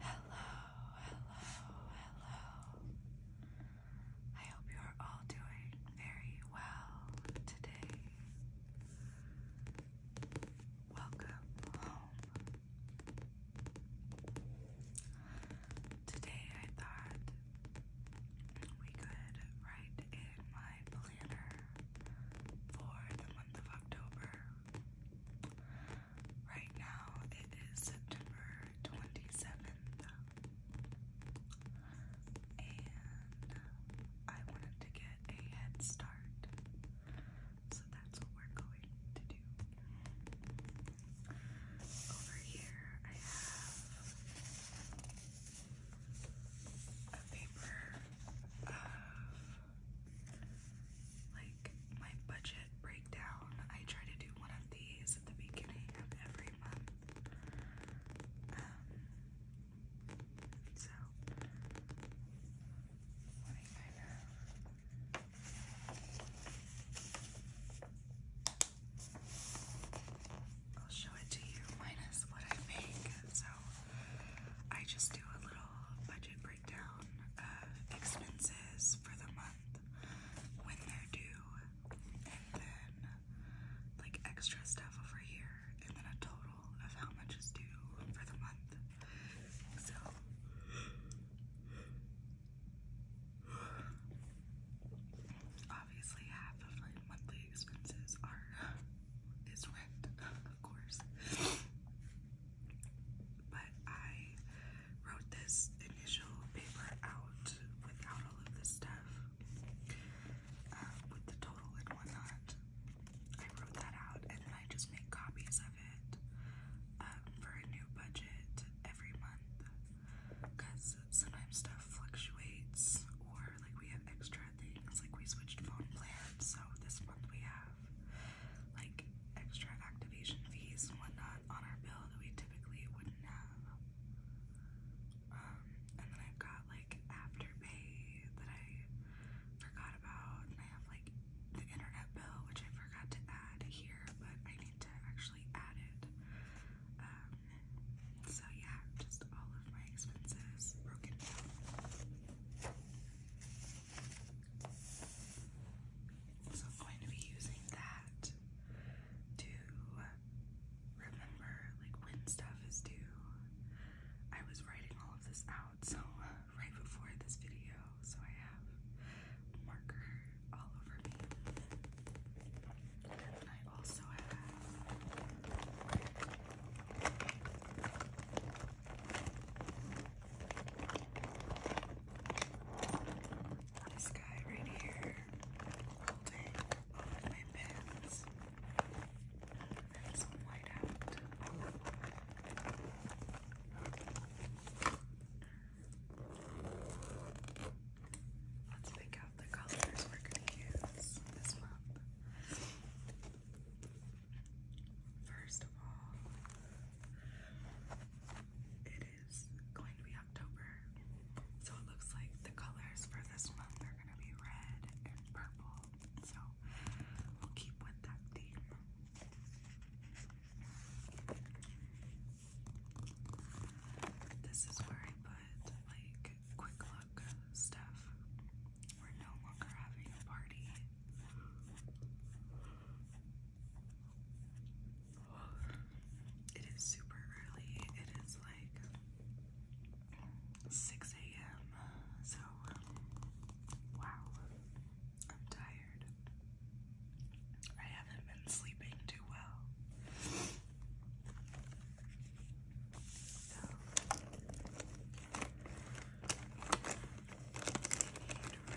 Hello, hello, hello. I hope you are all doing very well today. Welcome home. Today I thought we could write in my planner for the month of October. Right now it is September 27th, and I wanted to get a head start, so that's what we're going to do. Over here, I have a paper of like my budget breakdown. I try to do one of these at the beginning of every month. Um, so I'll show it to you minus what I make. So I just do a little budget breakdown breakdown uh, expenses for the month, when they're due, and then like extra stuff over here, and then a total of how much is due for the month. So obviously half of my monthly expenses are is rent, of course. But I wrote this initial paper out without all of this stuff, uh, with the total and whatnot. I wrote that out and I just make copies of it um, for a new budget every month because sometimes stuff fluctuates or like we have extra things, like we switched phone plans, so this month we have like extra activation fees and whatnot on our bill that we typically wouldn't have. Um, and then I've got like Afterpay that I forgot about, and I have like the internet bill which I forgot to add here, but I need to actually add it. Um, so yeah, just all of my expenses broken down. So I'm going to be using that to remember like when stuff is due. I was writing all of this out so right before this video, so I have marker all over me. And I also have this guy right here holding all my pins. And some white out. Let's pick out the colors we're gonna use this month. First of all, it is going to be October, so it looks like the colors for this month are going to be red and purple. So we'll keep with that theme. This is where I put like quick look stuff. We're no longer having a party it is super early. It is like 6 a.m. So, wow, I'm tired. I haven't been sleeping too well and red. And purple.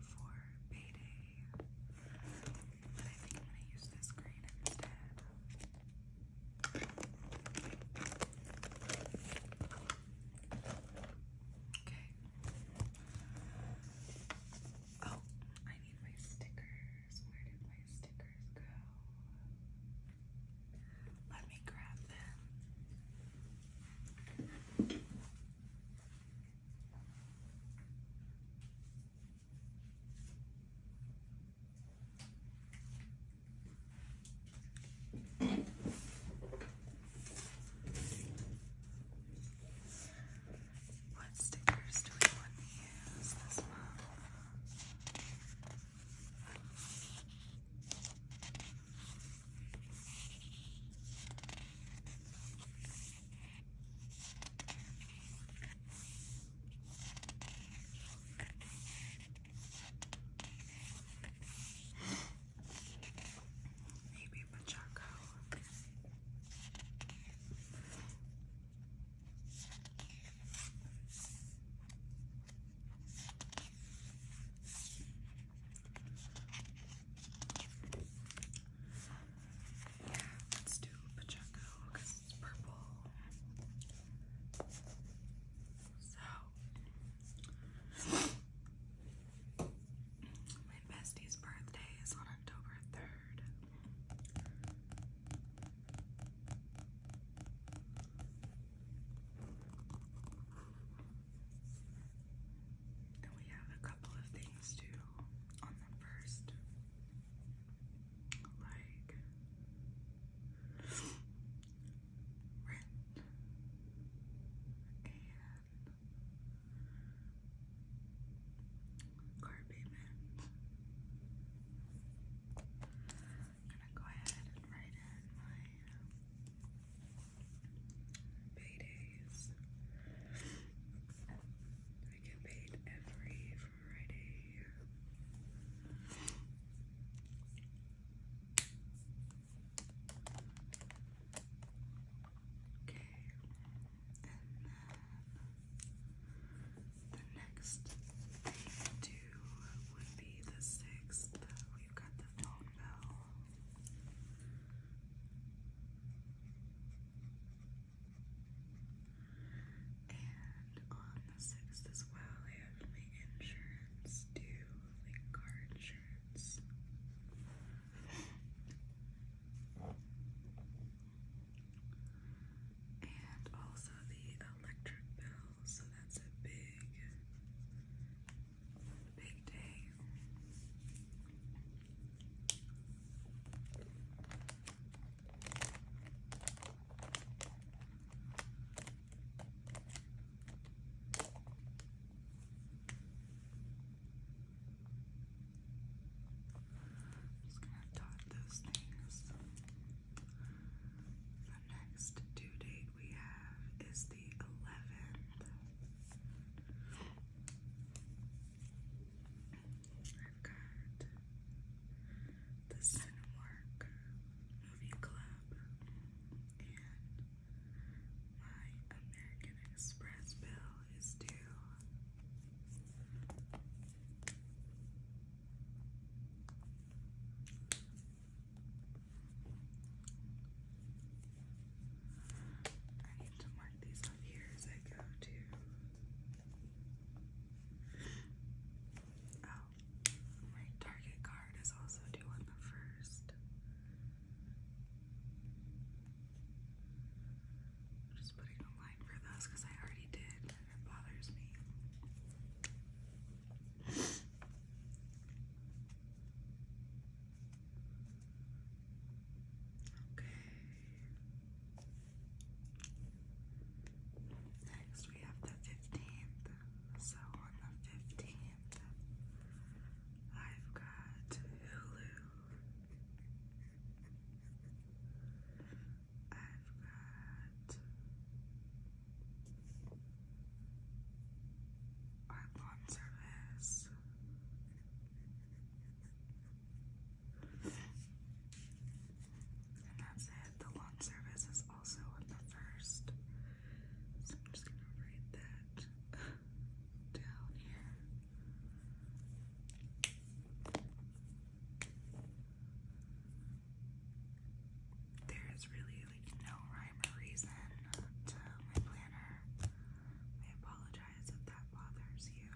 for payday. But I think I'm gonna use this green instead. Okay. Oh, I need my stickers. Where did my stickers go? Let me grab them. What stickers do we want to use this month? Maybe Pachaco. Yeah, let's do Pacheco because it's purple. So, my bestie's birthday is on October 3rd. And we have a couple of things to on them first. Like rent and car I'm gonna go ahead and write in my paydays. I get paid every Friday. Okay, uh, the next thing to do would be the sixth. We've got the phone bell. And on the 6th as well, I have my insurance due, like car insurance. and also the electric bill, so that's a big Big day. just going to dot those things. The next due date we have is the 11th. I've got the Cinemark Movie Club and my American Express bill is due. I need to mark these off here as I go to. Oh, my target card is also due on the 1st just putting a line for those because I already did. it bothers me. Okay. Next we have the 15th. So on the 15th, I've got Hulu. I've got our lawn service. And that's The lawn service is also in the first. So I'm just gonna write that down here. There is really like no rhyme or reason to my planner. I apologize apologize if that bothers you.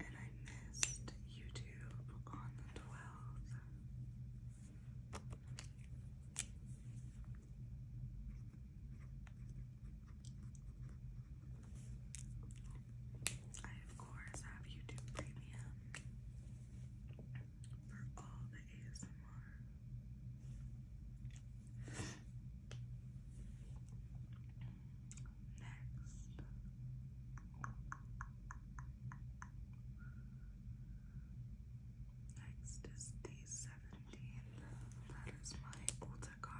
And I missed YouTube on the 12th. I, of course, have YouTube Premium for all the ASMR. Next. Next is the 17. That is my Ulta card.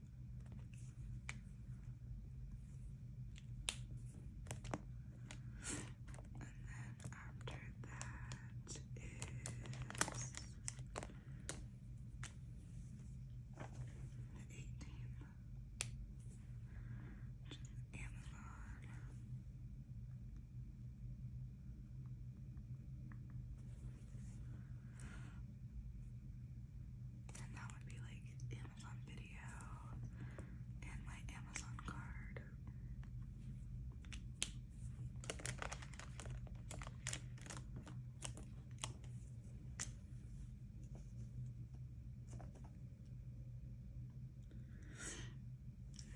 And then after that is eighteen. Amazon. And that would be like Amazon Video and my Amazon card.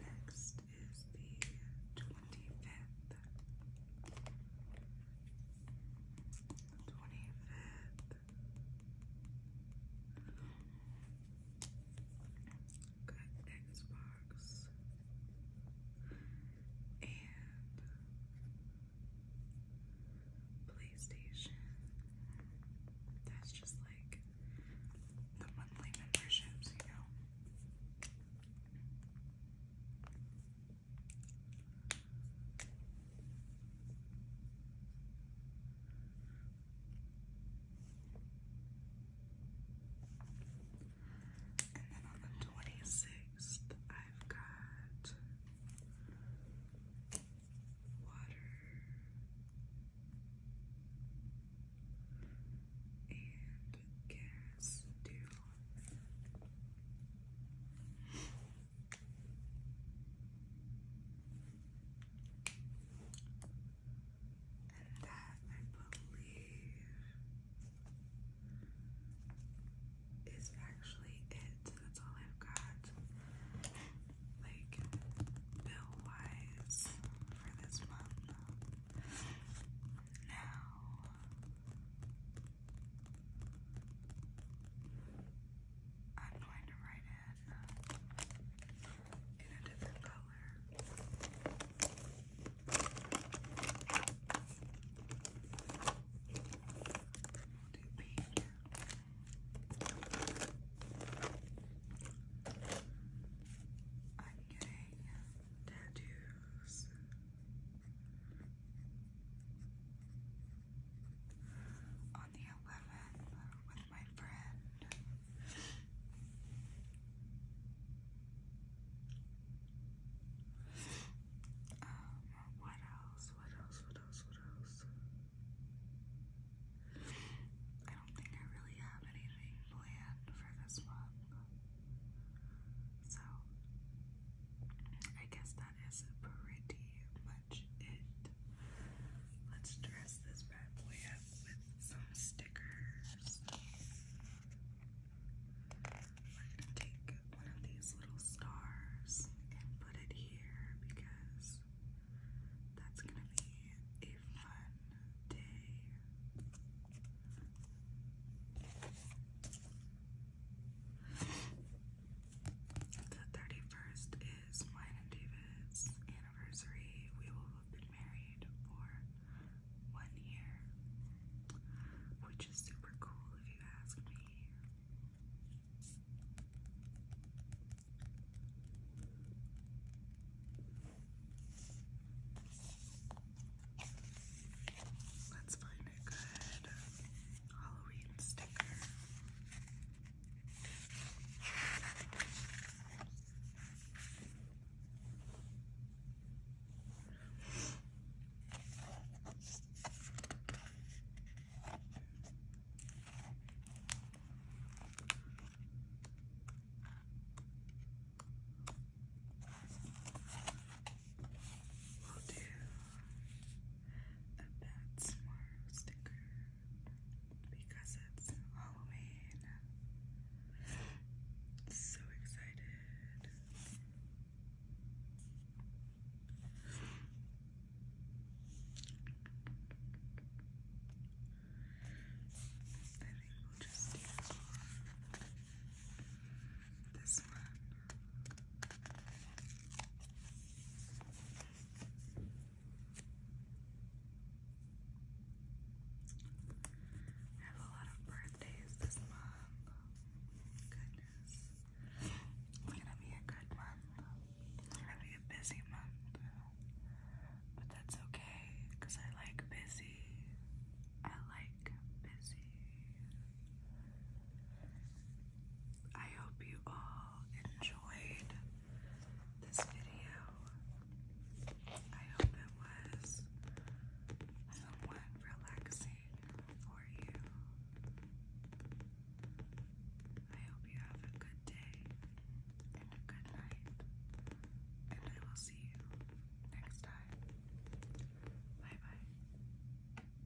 Next is the twenty fifth the 25th. Got Xbox and PlayStation. That's just like the monthly memberships, you know. And then on the twenty sixth, I've got water and gas due. And that, I believe, is actually it. That's all I've got, like, bill wise for this month. Now, I'm going to write it uh, in a different color. do pink. I'm getting tattoos on the 11th with my friend. Um, what else? What else? What else? What else? I don't think I really have anything planned for this month. So, I guess that is pretty much it. Let's dress this bad boy up with some stickers. We're gonna take one of these little stars and put it here because that's gonna be a fun day. The 31st is mine and David's anniversary. We will have been married for one year, which is super cool if you ask me. Let's good Halloween sticker. We'll do a Bat Smart sticker because it's Halloween. So excited. I think we'll just do this one. I have a lot of birthdays this month. Goodness. It's gonna be a good month. It's gonna be a busy month. But that's okay, because I like busy. I like busy. I hope you all enjoyed this video. I hope it was somewhat relaxing for you. I hope you have a good day and a good night, and I will see you next time. Bye bye.